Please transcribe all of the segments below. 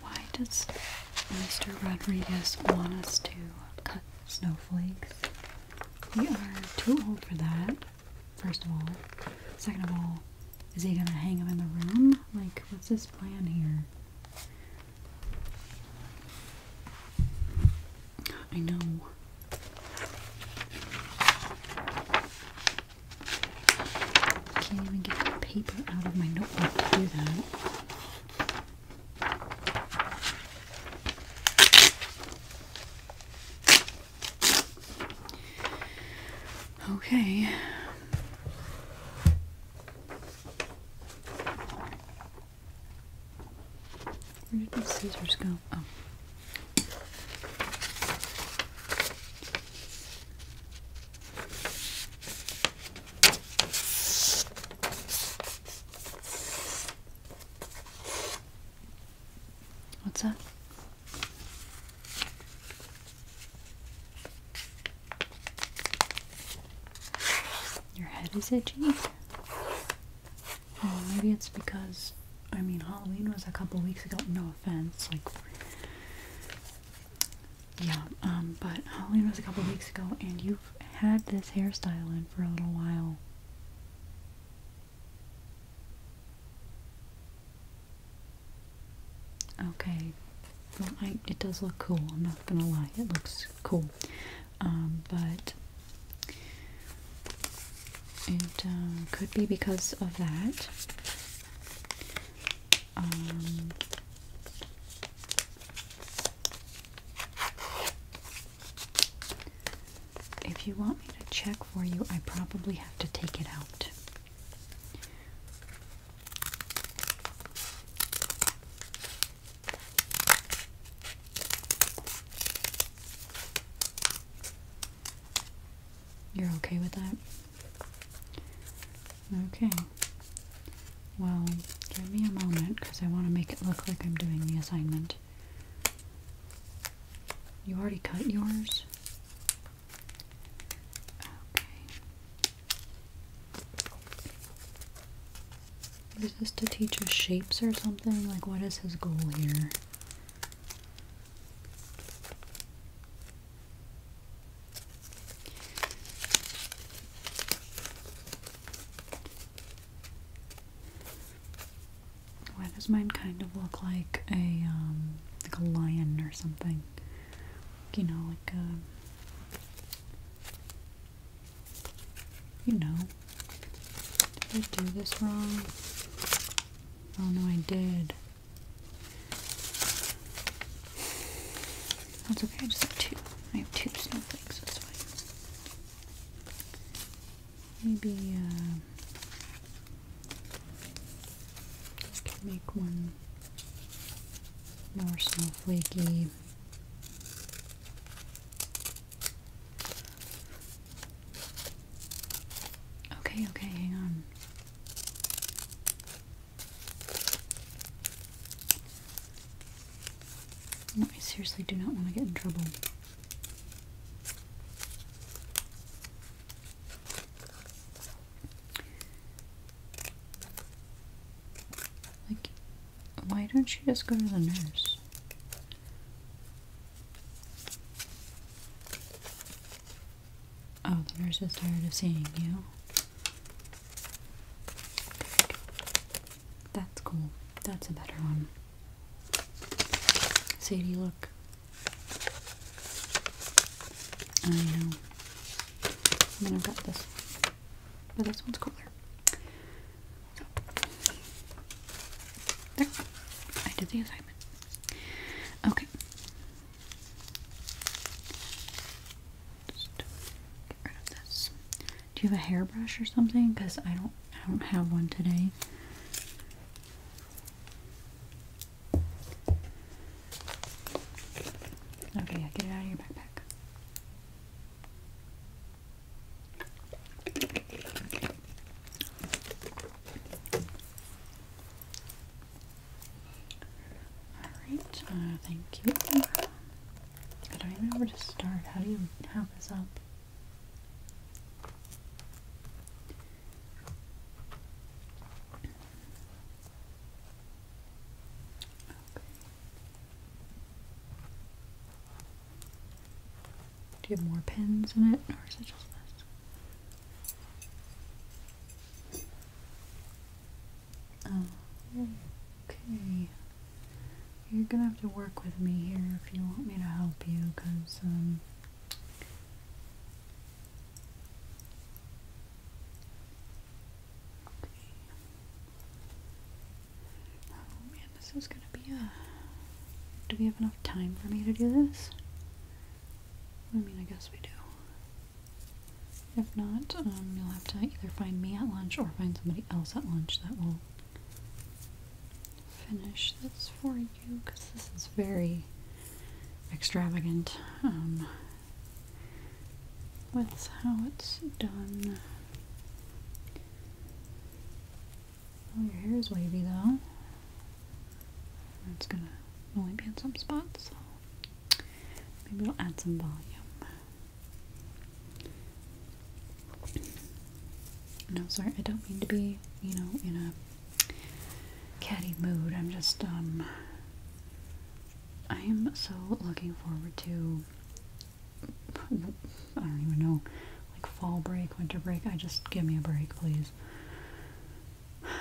Why does Mr. Rodriguez want us to cut snowflakes? We are too old for that, first of all. Second of all, is he gonna hang them in the room? Like, what's his plan here? I know. can't even get the paper out of my notebook to do that. Okay. Where did the scissors go? Oh. What's that? Your head is itchy. Oh, maybe it's because I mean Halloween was a couple weeks ago. No offense, like yeah, um, but Halloween was a couple weeks ago, and you've had this hairstyle in for a little while. Okay, it does look cool. I'm not gonna lie, it looks cool. Um, but it um, could be because of that. Um, if you want me to check for you, I probably have to take it out. You're okay with that? Okay. Well, give me a moment because I want to make it look like I'm doing the assignment. You already cut yours? Okay. Is this to teach us shapes or something? Like, what is his goal here? Why does mine kind of look like a um, like a lion or something? You know, like a you know, did I do this wrong? Oh no, I did. That's okay, I just have two. I have two snowflakes, that's fine. Maybe, uh... make one more snowflakey. Okay, okay, hang on. I seriously do not want to get in trouble. Like, why don't you just go to the nurse? Oh, the nurse is tired of seeing you. That's cool. That's a better one. Sadie, look. I know. I mean, I've got this. But this one's cooler. There. I did the other Okay. get rid of this. Do you have a hairbrush or something? Because I don't I don't have one today. Okay, yeah, get it out of your backpack. Alright, uh, thank you. I don't even know where to start. How do you have this up? Do you have more pins in it, or is it just this? Oh, okay. You're gonna have to work with me here if you want me to help you, because, um, this is gonna be a... Do we have enough time for me to do this? I mean, I guess we do. If not, um, you'll have to either find me at lunch or find somebody else at lunch that will finish this for you, because this is very extravagant um, with how it's done. Oh, your hair is wavy though. It's gonna only be in some spots, so maybe we will add some volume. No, sorry, I don't mean to be, you know, in a catty mood. I'm just, um, I am so looking forward to, I don't even know, like fall break, winter break. I just, give me a break, please issues.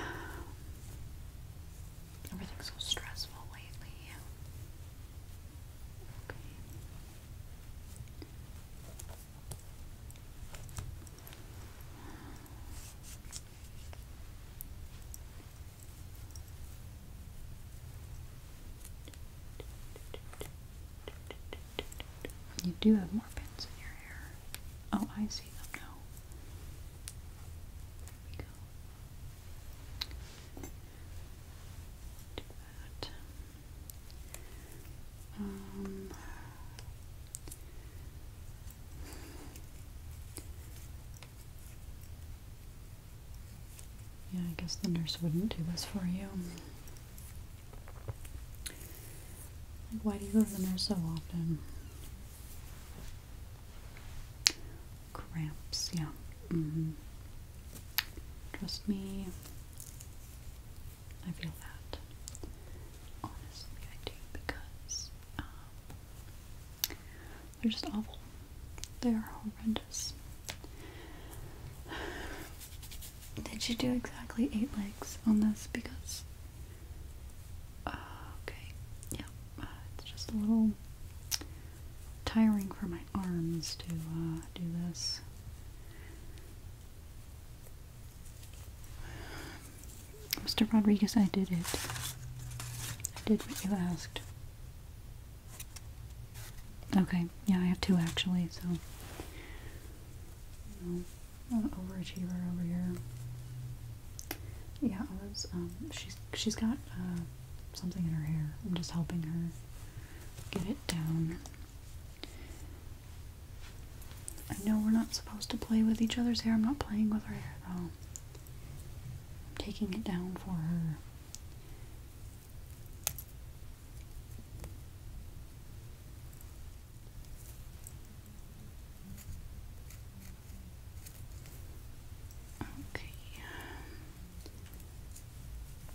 Everything's so stressful lately. Okay. You do have more pins in your hair. Oh, I see them now. we go. Do that. Um, yeah, I guess the nurse wouldn't do this for you. Like, why do you go to the nurse so often? Cramps, yeah. Mm-hmm. Trust me, I feel that. Honestly, I do because um, they're just awful. They are horrendous. Did you do exactly eight legs on this? Because, uh, okay, yeah, uh, it's just a little tiring for my arms to uh, do this. Mr. Rodriguez, I did it. I did what you asked. Okay, yeah, I have two actually, so overachiever over here. Yeah, I um, she's she's got uh, something in her hair. I'm just helping her get it down. I know we're not supposed to play with each other's hair. I'm not playing with her hair at all. I'm taking it down for her. Okay. Um,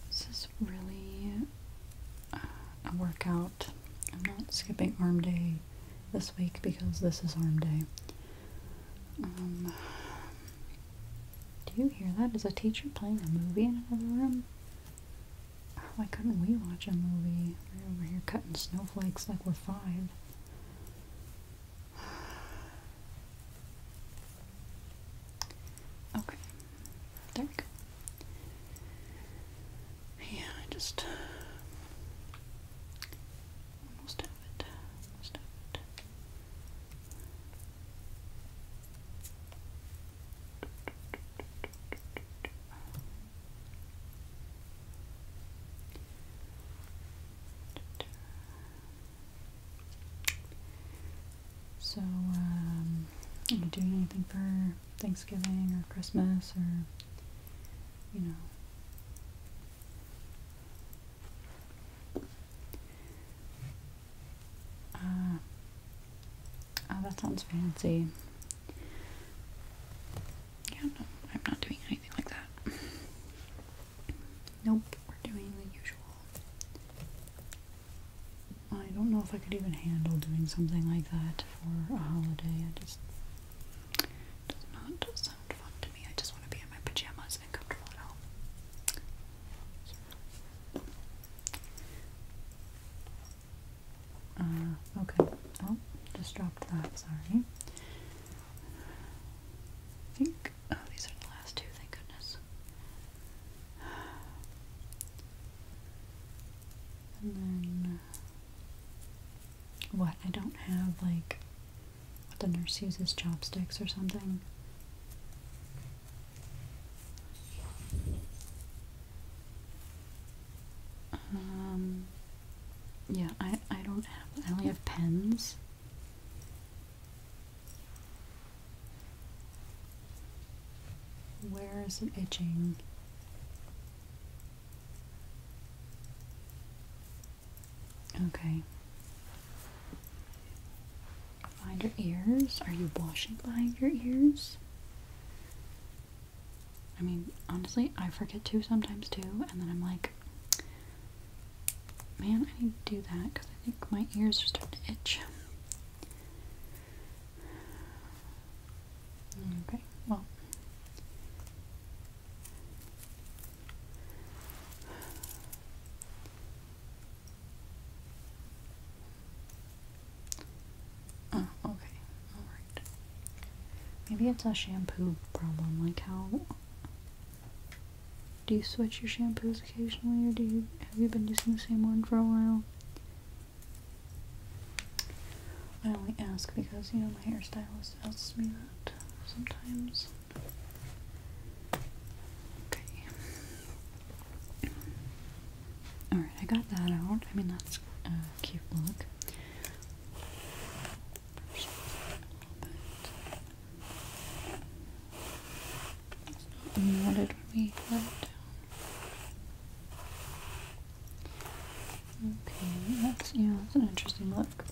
this is really uh, a workout. I'm not skipping arm day this week because this is arm day. Um, do you hear that? Is a teacher playing a movie in another room? Why couldn't we watch a movie? We're over here cutting snowflakes like we're five. Okay. There we go. Yeah, I just uh, almost have it. Almost have it. So, um, are you doing anything for Thanksgiving or Christmas or, you know? Uh, Oh, that sounds fancy. Yeah, no, I'm not doing anything like that. Nope, we're doing the usual. I don't know if I could even handle doing something like that for a holiday. I just does not sound fun to me. I just want to be in my pajamas and comfortable at home. Uh, okay. Oh, just dropped that. Sorry. I think. Oh, these are the last two. Thank goodness. And then what? I don't have like what the nurse uses chopsticks or something. Um, yeah, I I don't have I only have pens. Where is it itching? Okay. Behind your ears? Are you washing behind your ears? I mean, honestly, I forget too sometimes too, and then I'm like, man, I need to do that because I think my ears are starting to itch. Okay, well. Oh, okay. Alright. Maybe it's a shampoo problem. Like, how. Do you switch your shampoos occasionally, or do you. Have you been using the same one for a while? I only ask because, you know, my hairstylist tells me that sometimes. Okay. Alright, I got that out. I mean, that's a cute look. It's not knotted when we let Okay, that's, yeah, that's an interesting look.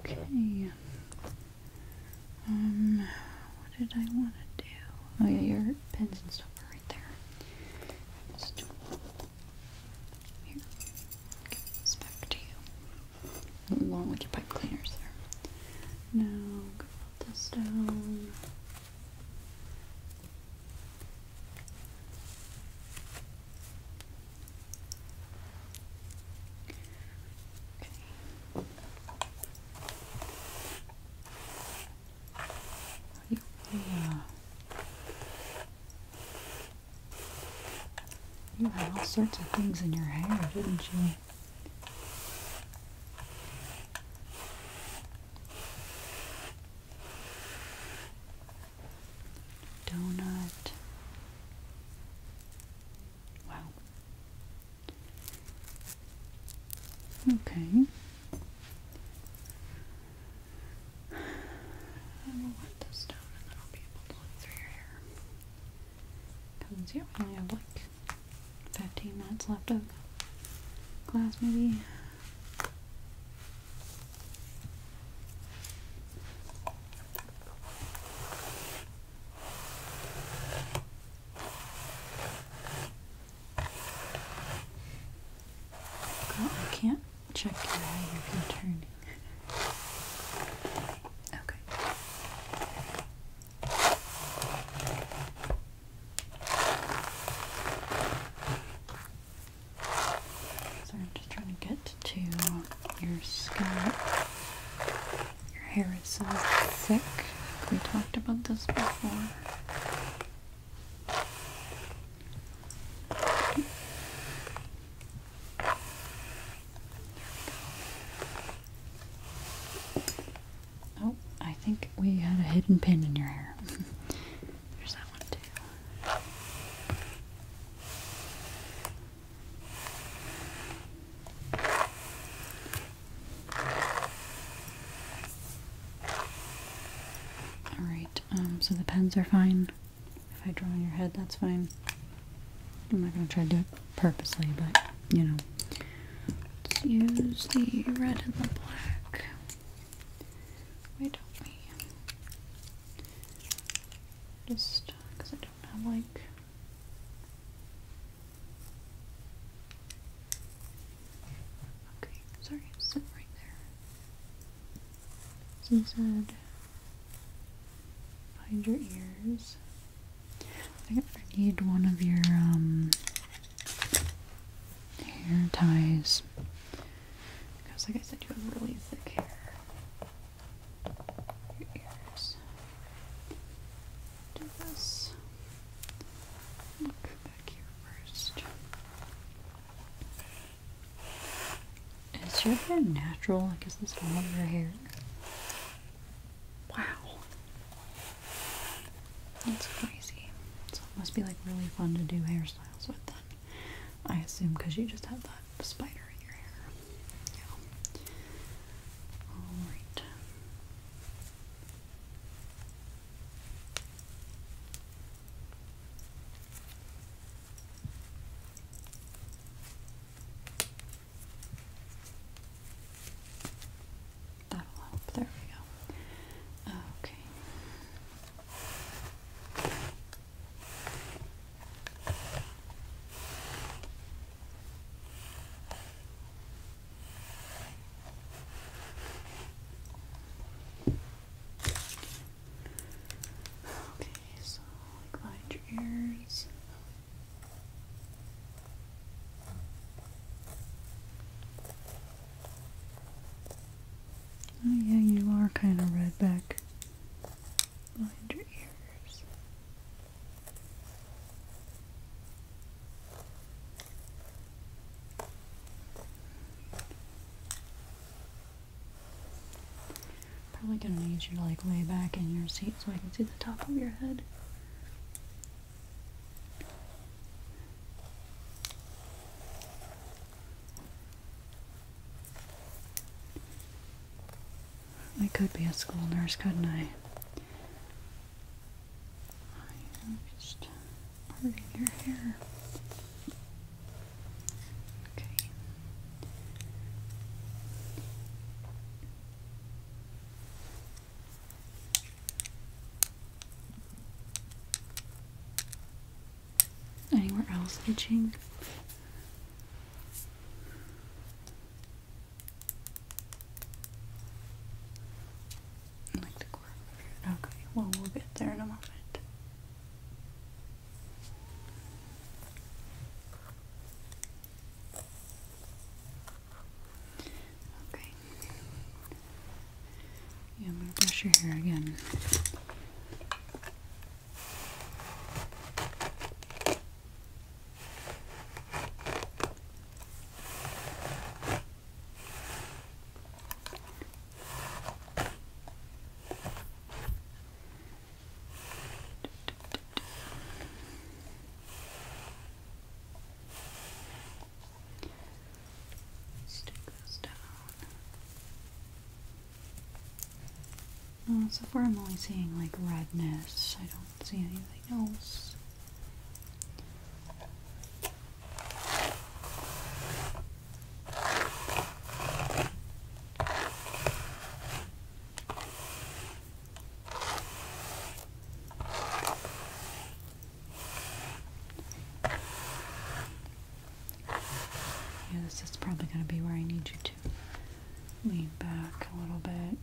Okay. Um, what did I want to do? Oh yeah, your pens and stuff are right there. here, give back to you, along with your pipe cleaners there. Now, put this down. Okay. You had all sorts of things in your hair, didn't you? Donut. Wow. Okay. I will wet this down and then I'll be able to look through your hair. Because, yeah, we only have like 15 minutes left of class, maybe. I can't check your hair if you're turning. Okay. So I'm just trying to get to your scalp. Your hair is so thick. We talked about this before. Oh, I think we had a hidden pin in your hair. There's that one too. Alright, um, so the pens are fine. If I draw on your head, that's fine. I'm not going to try to do it purposely, but, you know. Let's use the red and the black. Why don't Just because I don't have, like, Okay, sorry, sit right there. So you said your ears. I think I need one of your um, hair ties. Because like I said, you have really thick hair. Your ears. Do this. Look is your hair natural? Like, is this all of your hair? Wow. That's crazy. So it must be like really fun to do hairstyles with then. I assume because you just have that spider in your hair. Yeah. Alright. That'll help. There we go. Okay. Okay, so behind your ears. Oh yeah, you are kind of red back behind your ears. Probably gonna need you to like lay back in your seat so I can see the top of your head. I could be a school nurse, couldn't I? just hurting your hair. Okay. Anywhere else itching? Okay, well we'll get there in a moment. Okay. Yeah, I'm gonna brush your hair again. Stick those down. so far I'm only seeing like redness. I don't see anything else. Yeah, this is probably going to be where I need you to lean back a little bit.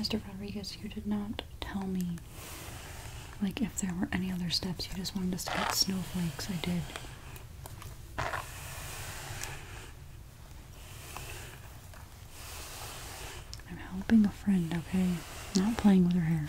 Mr. Rodriguez, you did not tell me, like, if there were any other steps. You just wanted us to get snowflakes. I did. I'm helping a friend, okay? Not playing with her hair.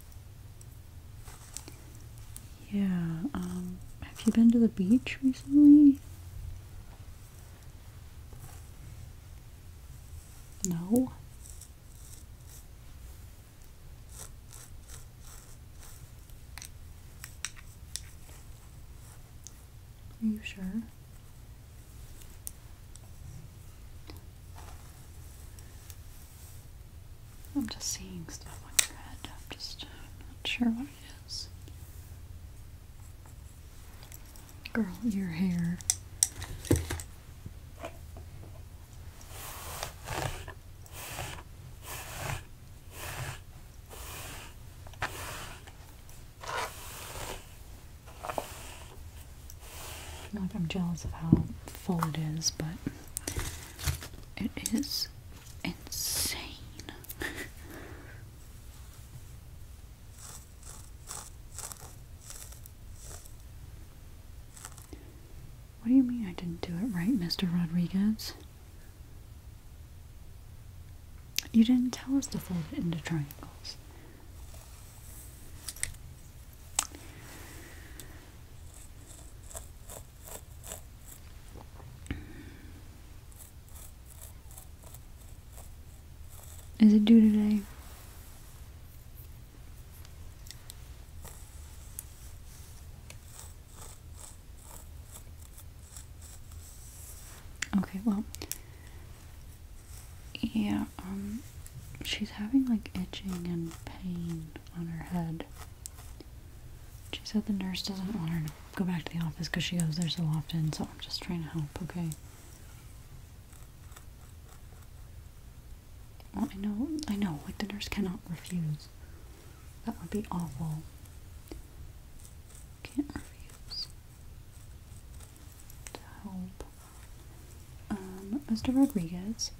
Yeah, um, have you been to the beach recently? No. Are you sure? I'm just seeing stuff on your head. I'm just not sure what it is. Girl, your hair. Like I'm jealous of how full it is, but it is insane. what do you mean I didn't do it right, Mr. Rodriguez? You didn't tell us to fold it into triangles. Is it due today? Okay, well, yeah, um, she's having like itching and pain on her head. She said the nurse doesn't want her to go back to the office because she goes there so often, so I'm just trying to help, okay? I know, I know, like the nurse cannot refuse. That would be awful. Can't refuse. To help. Um, Mr. Rodriguez.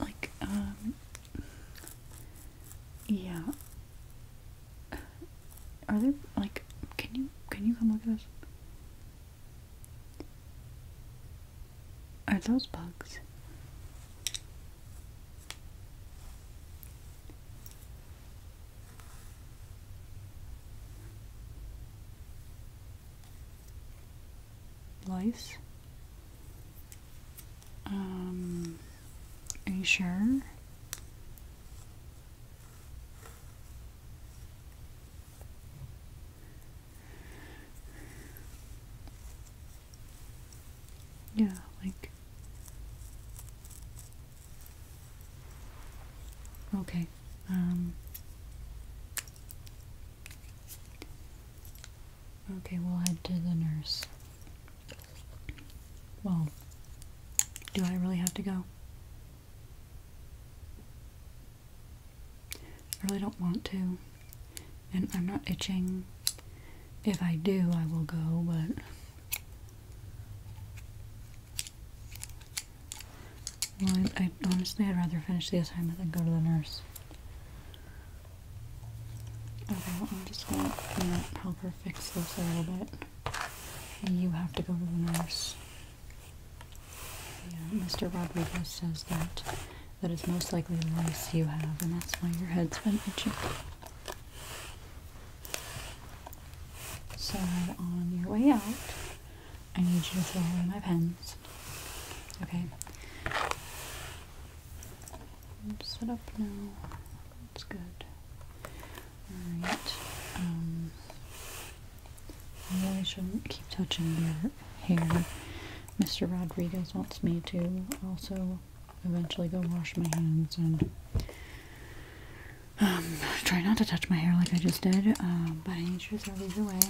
like, um, yeah. Are there like can you can you come look at this? Are those bugs? Lice? Um, are you sure? Yeah, like. Okay. Um, Okay, we'll head to the nurse. Well, do I really have to go? I really don't want to. And I'm not itching. If I do, I will go, but. Well, I, honestly, I'd rather finish the assignment than go to the nurse. Okay, I'm just gonna help her fix this a little bit. You have to go to the nurse. Yeah, Mr. Rodriguez says that that is most likely the lice you have, and that's why your head's been itching. So on your way out, I need you to throw away my pens. Okay set up now. That's good. Alright. Um, I really shouldn't keep touching your hair. Mr. Rodriguez wants me to also eventually go wash my hands and um, try not to touch my hair like I just did, um, but I need you to throw these away.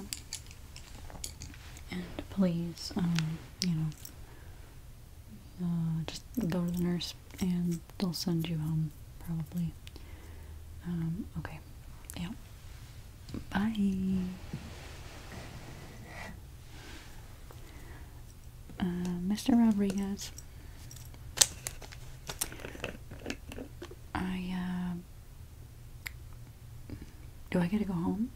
And please, um, you know, uh, just go to the nurse and they'll send you home, probably. Um, okay. Yeah. Bye. Uh, Mr. Rodriguez, I uh, do I get to go home?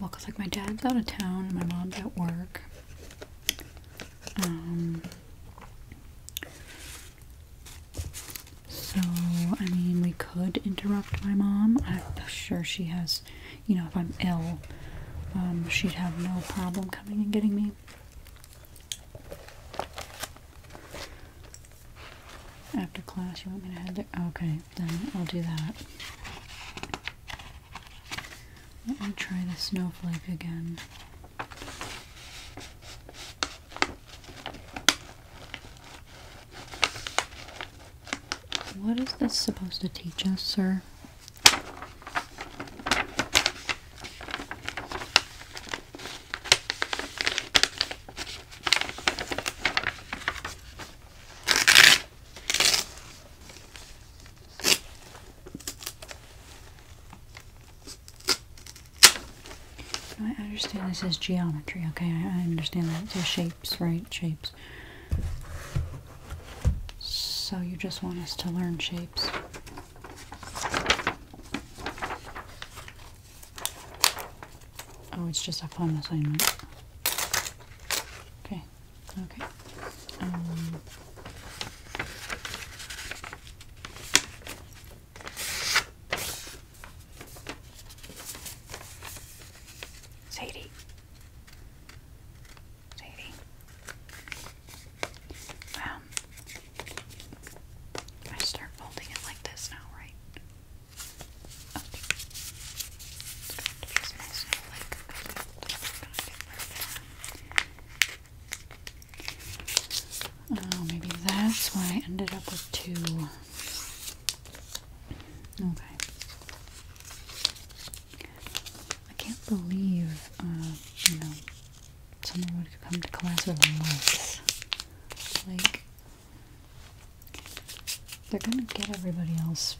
Well, cause like my dad's out of town, and my mom's at work. Um, so I mean, we could interrupt my mom. I'm sure she has, you know, if I'm ill, um, she'd have no problem coming and getting me. After class, you want me to head there? Okay, then I'll do that. Let me try the snowflake again. What is this supposed to teach us, sir? I understand this is geometry, okay? I understand that. So shapes, right? Shapes. So you just want us to learn shapes. Oh, it's just a fun assignment. Okay, okay. Um, Sadie. Sadie. Um, I start folding it like this now, right? Oh, maybe that's why I ended up with two. Okay. I can't believe, uh, you know, someone would come to class with lights. Like, they're gonna get everybody else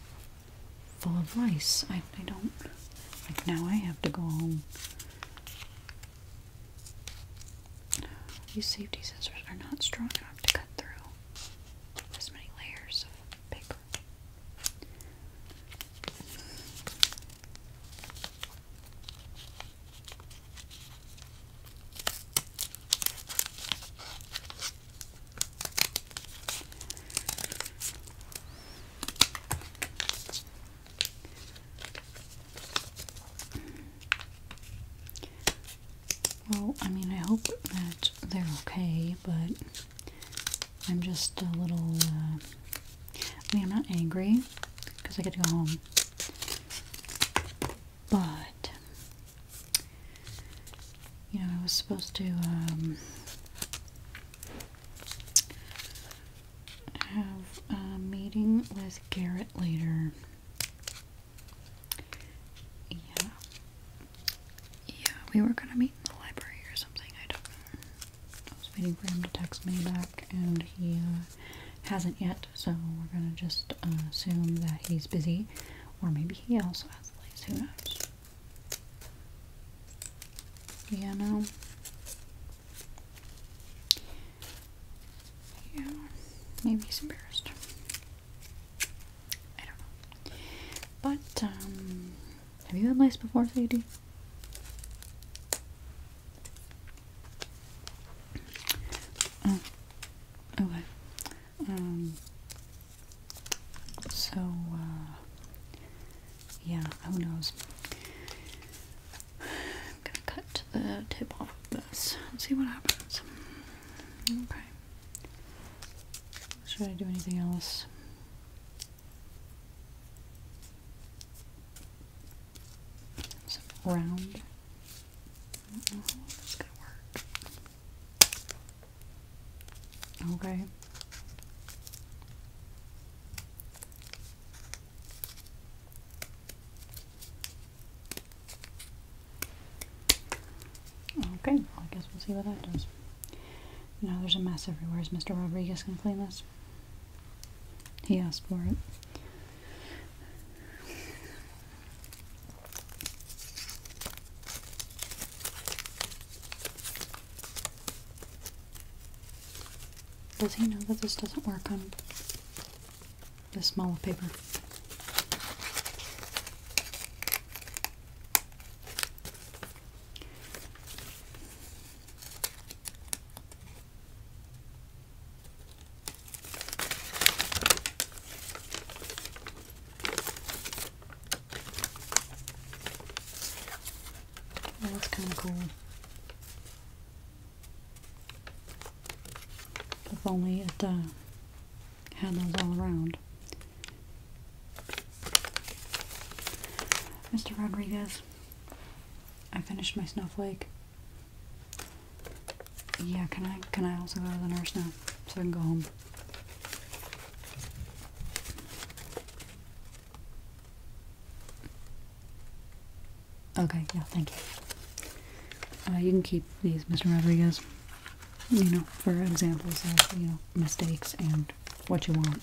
full of rice. I, I don't. Like, now I have to go home. These safety scissors are not strong enough to cut through this many layers of paper. Well, I mean, I hope that they're okay, but I'm just a little, uh, I mean, I'm not angry because I get to go home, but, you know, I was supposed to um, have a meeting with Garrett later. Yeah. Yeah, we were going to meet in the library or something. I don't know. I was waiting for him to text me back, and he uh, hasn't yet, so we're gonna just uh, assume that he's busy, or maybe he also has legs. Who knows? Yeah, Yeah, maybe he's embarrassed. I don't know. But um, have you had lice before, Sadie? Uh, okay. Um, so, uh, yeah, who knows? I'm gonna cut the tip off of this and see what happens. Okay. Should I do anything else? some round. Okay. Okay, I guess we'll see what that does. Now there's a mess everywhere. Is Mr. Rodriguez gonna clean this? He asked for it. Does he know that this doesn't work on this small of paper? that's kind of cool. If only it uh, had those all around. Mr. Rodriguez, I finished my snowflake. Yeah, can I can I also go to the nurse now so I can go home? Okay, yeah, thank you. Uh, you can keep these, Mr. Rodriguez, you know, for examples of, you know, mistakes and what you want.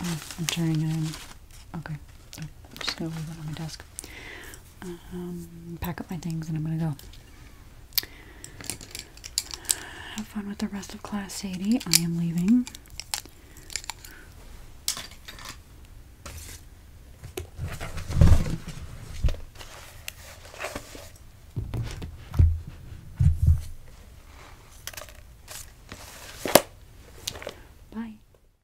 Uh, I'm turning it in. Okay, so just to leave it on my desk. Um, pack up my things and I'm gonna go. Have fun with the rest of Class Sadie. I am leaving. Bye.